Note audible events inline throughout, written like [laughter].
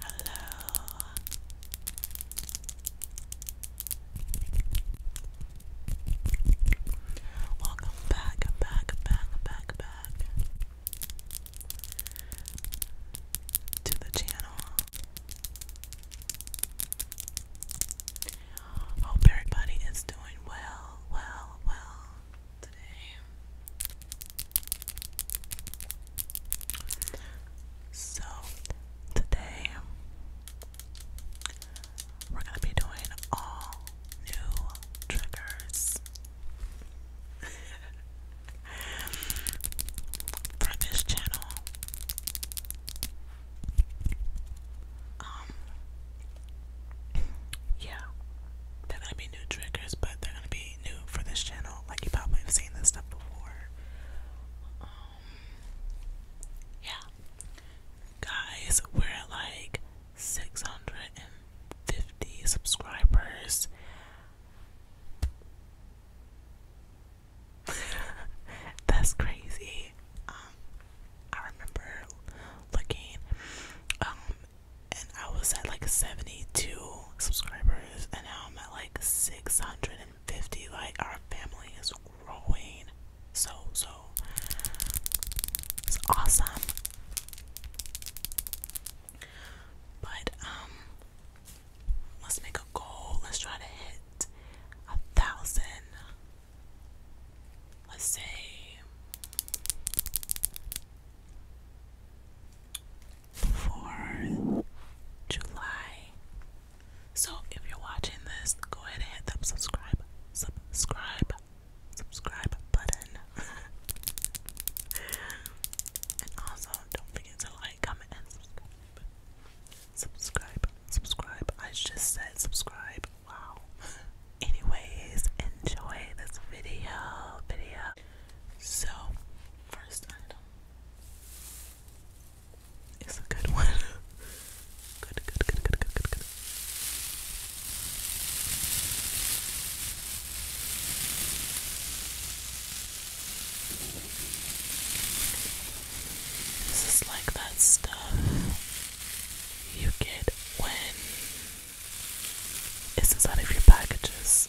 Hello. Welcome back, back, back, back, back to the channel. Hope everybody is doing well, well, well today. So, today we're going to be doing all new triggers. [laughs] For this channel, um, yeah, they're be new triggers, but they're gonna be new for this channel out. Like probably have seen this stuff before. Um, yeah, guys, we're like 650 subscribers. [laughs] That's crazy. Um, I remember looking um, and I was at like 72 subscribers, and now I'm at like 650. Like, our family is growing so, so it's awesome. But, um, let's make a goal. Let's try to hit a thousand. Let's say for July. So if you're watching this, go ahead and hit that subscribe, subscribe, subscribe button. [laughs] and also don't forget to like, comment, and subscribe. Subscribe, subscribe. I just said subscribe. Wow. [laughs] Anyways, enjoy this video. Video. So first item. It's a good one. [laughs] good, good, good, good, good, good, good. This is like that stuff you get when it's inside of your packages.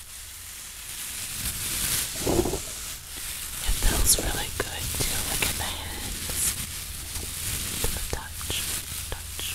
It feels really good to look at the hands. To touch, touch, touch, touch.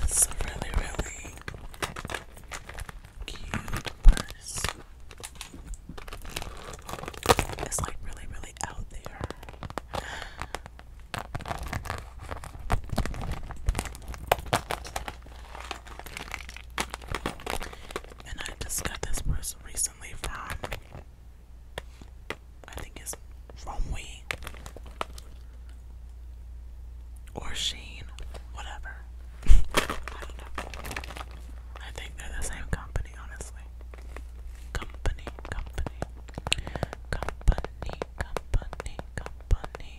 This is really, really cute purse. It's like really, really out there. And I just got this person recently from I think it's from we or Sheen, whatever. I [laughs] I think they're the same company, honestly. Company, company, company, company, company.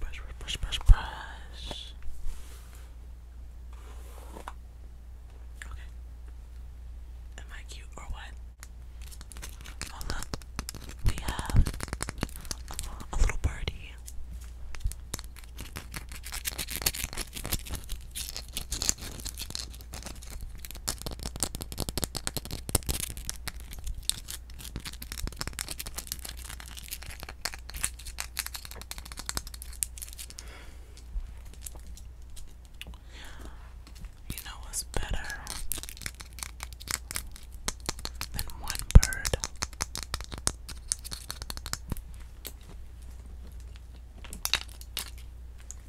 Brush, brush, brush, brush, brush. Okay. Am I cute or what? Oh look, we have a little birdie. You know what's better than one bird?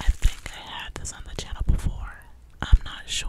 I think I had this on the channel before. I'm not sure.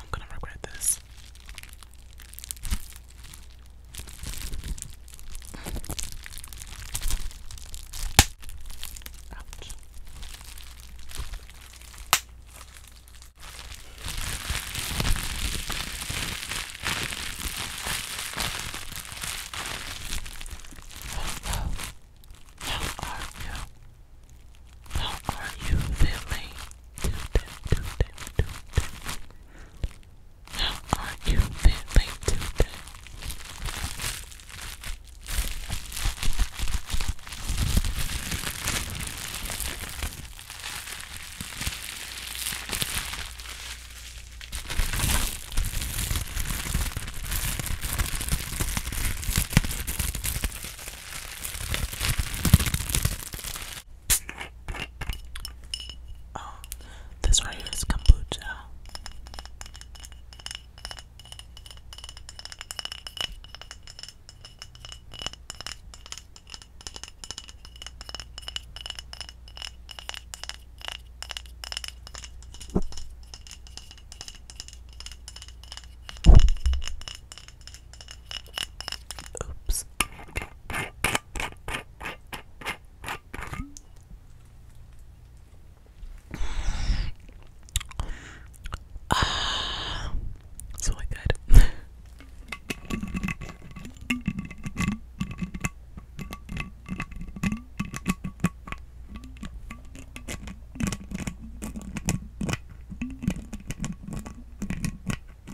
I'm gonna regret this. Ouch. How are you? How are you feeling? How are you feeling today? Oh, this right here is kombucha. Oops. Ah, so really good. [laughs]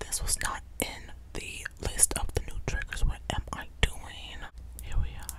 This was not in the list of the new triggers. Where am I doing? Here we are.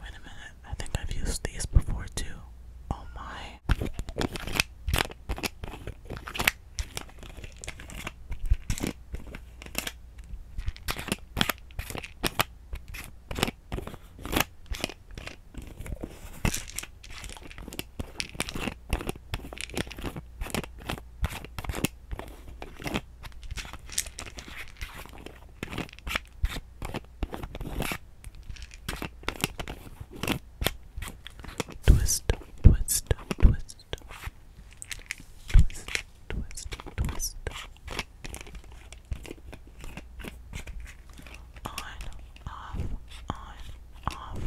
Wait a minute, I think I've used these before too. Oh my. Twist, twist, twist. Twist, twist, twist. On, off, on, off, on,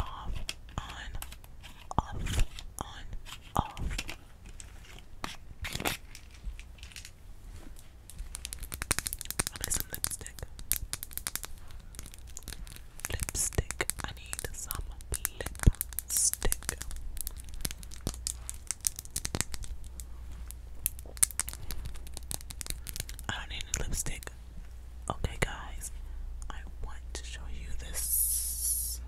off, on, off, on, off. I need some lipstick. Lipstick. I need some lipstick. I don't need lipstick. Okay, guys, I want to show you this.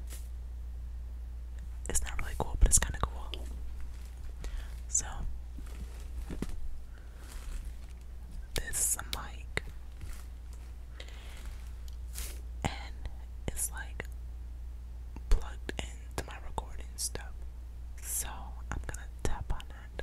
It's not really cool, but it's kind of cool. So this is a mic, and it's like plugged into my recording stuff. So I'm gonna tap on it.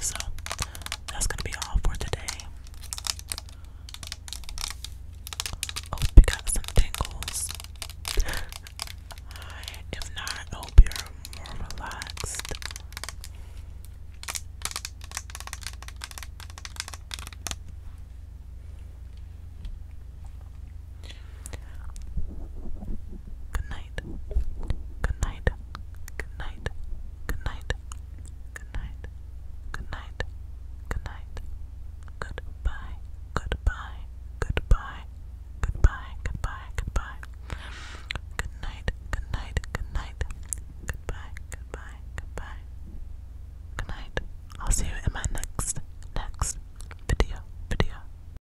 So that's gonna be all for today. Hope you got some tingles. if not, hope you're more relaxed. Good night. Good night. Good night. Good night. Good night. Good night. Good night. Goodbye. Goodbye. Goodbye. Goodbye. Goodbye. Goodbye. Good night. Good night. Good night. Goodbye. Goodbye. Goodbye. Good night. I'll see you in my next next video. Video.